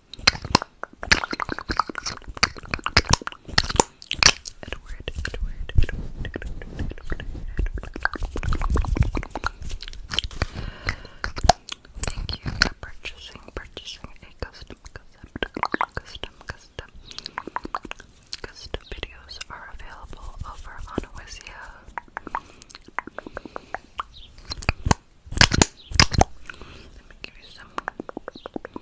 Thank you for purchasing, purchasing a custom, custom, custom, custom. Custom videos are available over on Wizia. Let me give you some.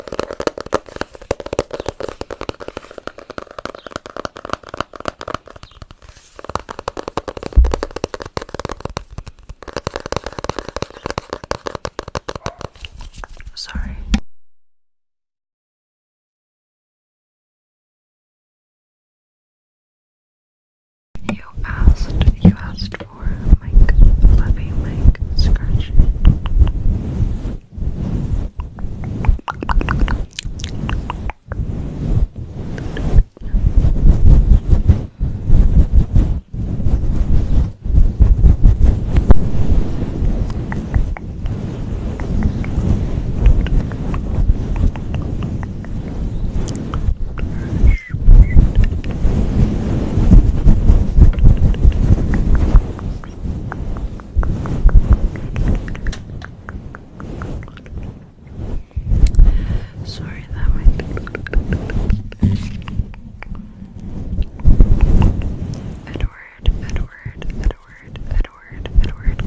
Sorry. You asked, you asked or like loving like scratching. Brush, brush, brush, Sorry, that might be Edward, Edward, Edward, Edward, Edward.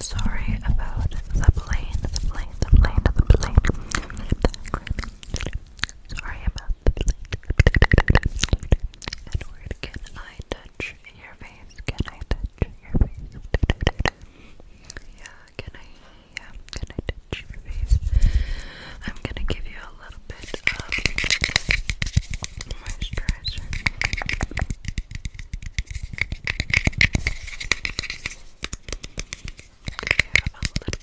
Sorry about the plane, the plane, the plane, the plane. Sorry about the plane. Edward, can I touch your face? Can I touch your face? Yeah, can I, yeah, can I touch your face? I'm gonna give you a little bit of moisturizer. Give a little bit,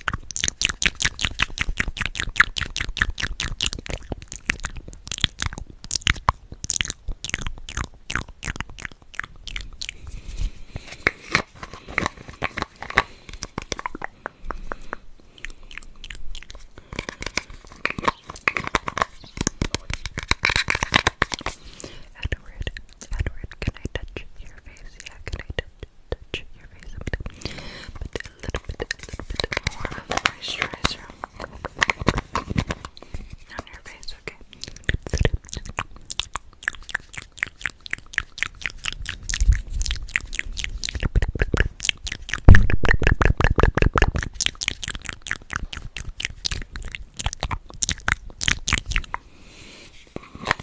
little Edward, Edward, can I touch your face? Yeah, can I touch touch your face a bit, but a little bit, a little bit more of moisturizer on your face, okay?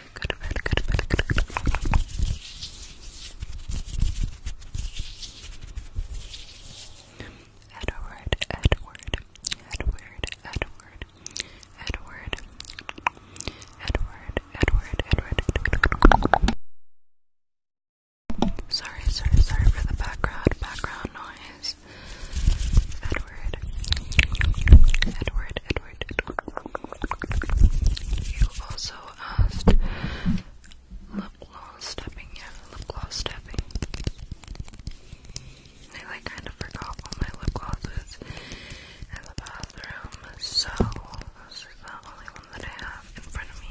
Go Edward, Edward, Edward, Edward, Edward, Edward, Edward, Edward. Sorry, sorry, sorry for the background, background noise. Edward, Edward, Edward, covered it. You also asked lip gloss stepping, yeah, lip gloss stepping. I like kind of forgot all my lip glosses in the bathroom, so this is the only one that I have in front of me.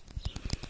Edward, Edward.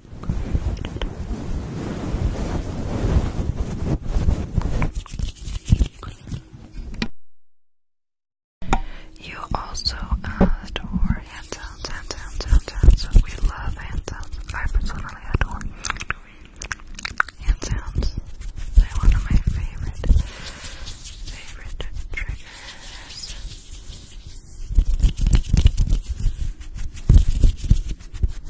You also uh, asked for hand sounds, hand sounds, hand sounds. We love hand I personally adore hand They're one of my favorite, favorite triggers.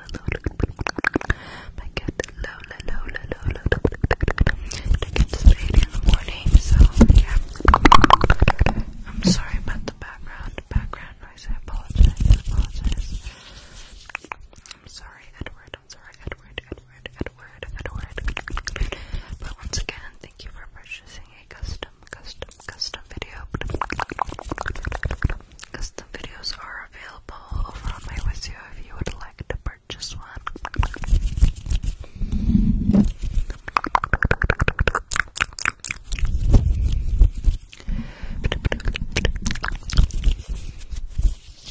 my cat Lola, Lola, Lola, I get to stay in the morning, so yeah. I'm sorry about the background, background noise. I apologize, apologize. I'm sorry, Edward. I'm sorry, Edward, Edward, Edward, Edward. But once again, thank you for purchasing a custom, custom, custom video custom videos are available over on my website if you would like to purchase one.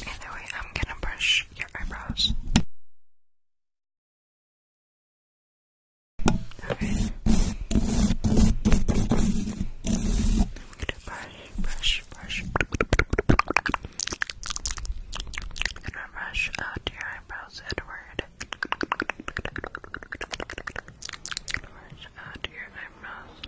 Either I'm gonna brush your eyebrows. Okay. I'm brush brush, brush, and brush out oh your eyebrows, Edward. Brush out oh your eyebrows.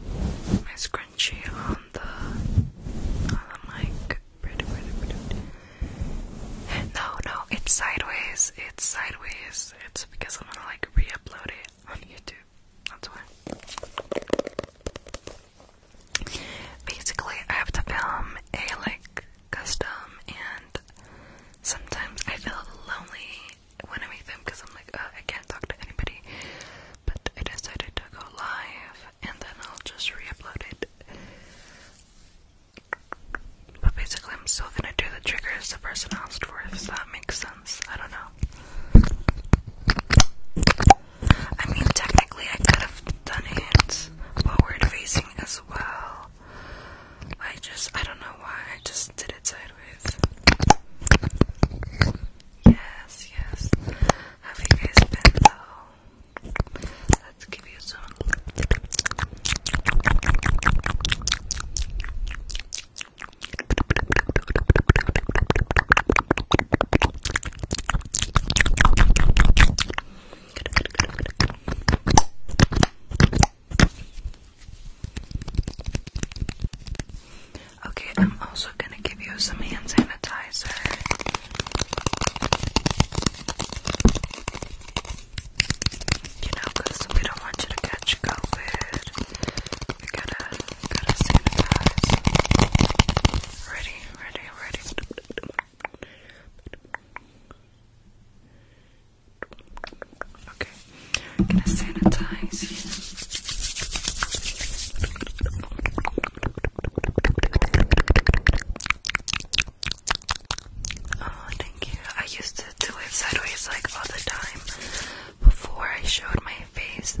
my scrunchie on the on the mic. No, no, it's sideways. It's sideways. It's because I'm gonna like re-upload it on YouTube. That's why. Basically, I have to film a like custom, and sometimes I feel lonely when I make them because I'm like, I can't talk to anybody. But I decided to go live and then I'll just re upload it. But basically, I'm still gonna do the triggers the person asked for, if that makes sense. I don't know. I mean, technically, I could have done it forward facing as well. I just, I don't know why, I just did it Yes, yes. Have you guys been though? Let's give you some. Okay, I'm also gonna give you some hand sanitizer. You know, we don't want you to catch COVID. We gotta, gotta sanitize. Ready, ready, ready. Okay, I'm gonna sanitize you. Oh, thank you. I used to do it sideways like all the time before I showed my face.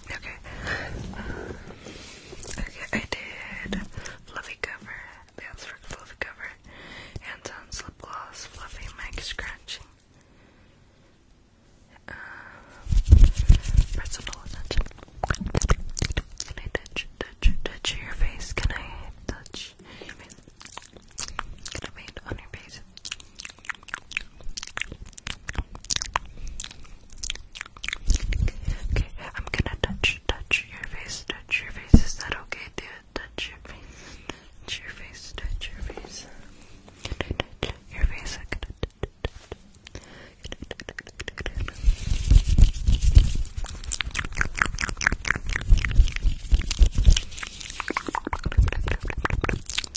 Okay. Uh, okay, I did fluffy cover. That's for fluffy cover. Hands on slip fluffy mic scratching. Uh, personal attention. Can I touch, touch, touch your face? Can I touch your face? Can I paint on your face? Okay, I'm gonna touch, touch your face, touch your face. Is that okay, dude? Touch your face, touch your face, touch your face. Can I touch your face? Can I touch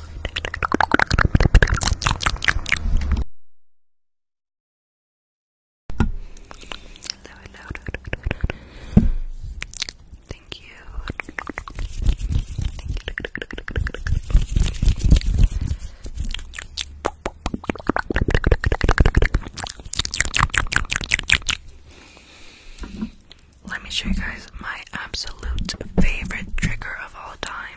Thank you. Let me show you guys my absolute favorite trigger of all time.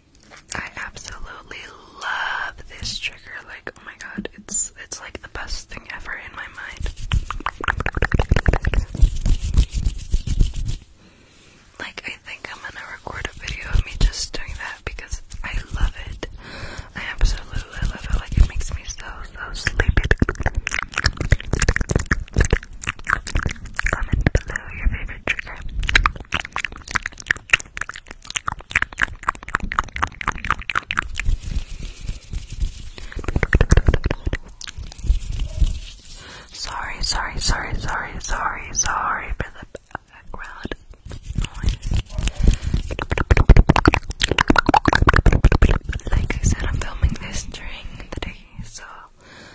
I absolutely love this trigger. Like, oh my god, it's it's like the best thing ever in my mind. Like, I think I'm gonna record a video of me just doing that because I love it. I absolutely love it. Like, it makes me so, so sleepy. Comment below your favorite trigger. Sorry, sorry, sorry, sorry, sorry, sorry for the background noise. Like I said, I'm filming this during the day, so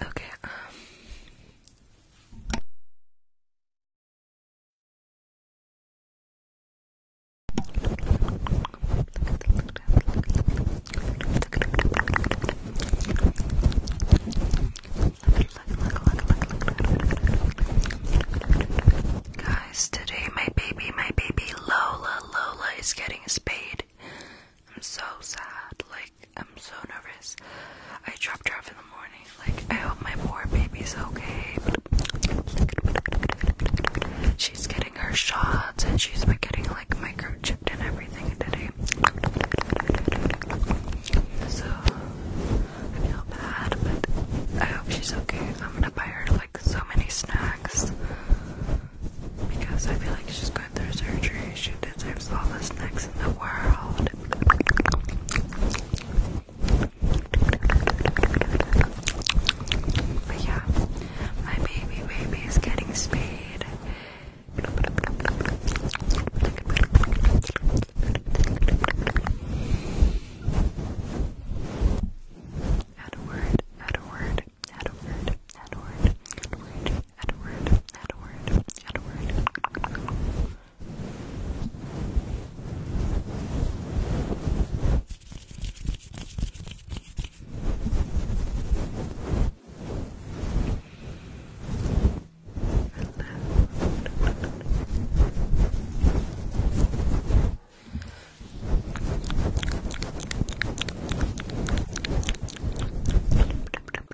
Okay, um, Guys, today my baby, my baby Lola, Lola is getting spayed. I'm so sad. Like I'm so nervous. I dropped her off in the morning. Like I hope my poor baby's okay. She's getting her shots and she's getting like microchipped and everything today. So I feel bad, but I hope she's okay. I'm gonna buy her like so many snacks because I feel like she's going through surgery. She deserves all the snacks in the world. But yeah, my baby baby is getting spayed. Add a word, add a word, add a word, add a word, add a word. Edward, Edward, Edward. Scratch,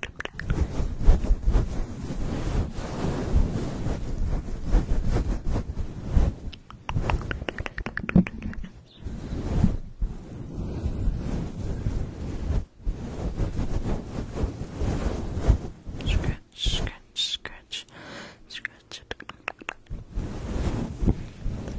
scratch, scratch, scratch it.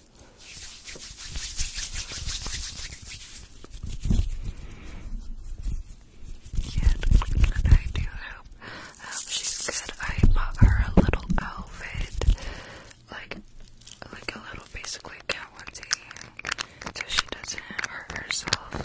and I do hope, hope she's good. I bought her a little outfit, like like a little basically cat onesie, so she doesn't hurt herself.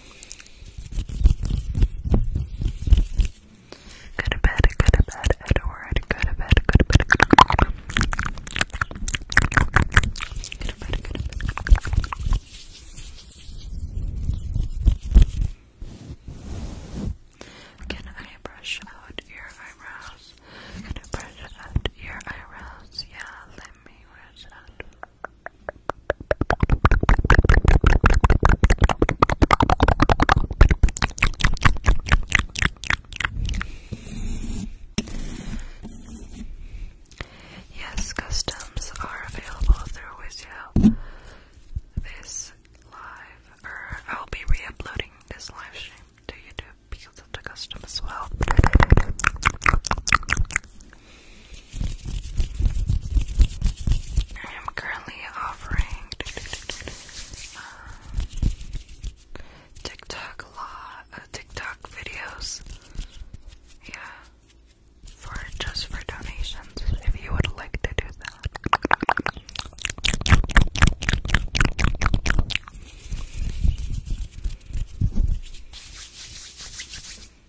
Go to bed, go to bed, Edward. Go to bed, go to bed. Go to bed, go to bed. Can I brush out your eyebrows? Can I brush out your eyebrows? Yeah, let me brush out. Yes, customs are available through Wizio. This live, er, I'll be re this live stream to YouTube because of the custom as well. I am currently offering uh, TikTok law, uh, TikTok videos. Yeah, for just for donations. If you would like to do that.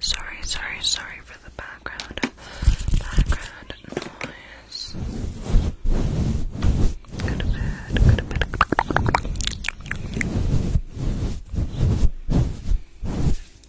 Sorry, sorry, sorry for the background background noise. Go to bed, go to bed. Go to bed.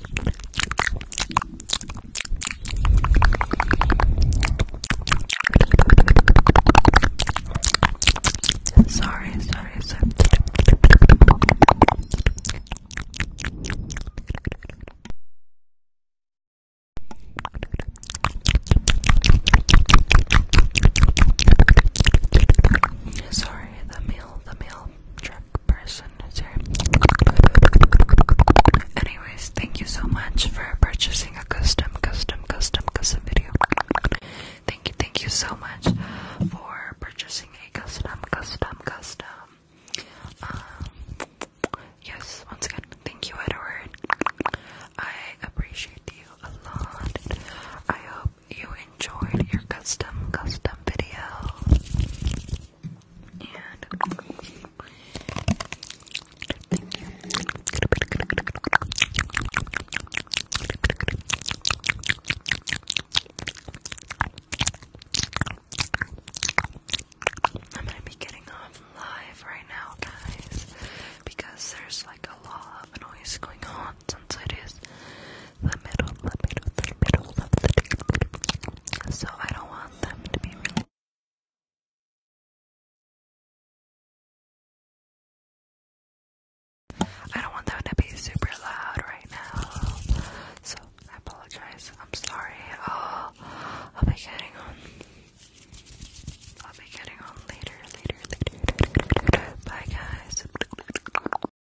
Sorry, sorry, sorry. Sorry, the meal, the meal, Anyways, thank you so much for purchasing a custom, custom, custom, custom video. Thank you, thank you so much for purchasing a custom, custom, custom. Um, yes, once again, thank you, Edward. I appreciate you a lot. I hope you enjoyed your custom custom video. And I'm gonna be getting off live right now, guys, because there's like a lot of noise going on, since it is the middle, the middle, the middle of the day. So I don't want them to be I don't want them to be super loud right now. So I apologize. I'm sorry. I'll, I'll be getting on. I'll be getting on later, later, later. Bye, guys.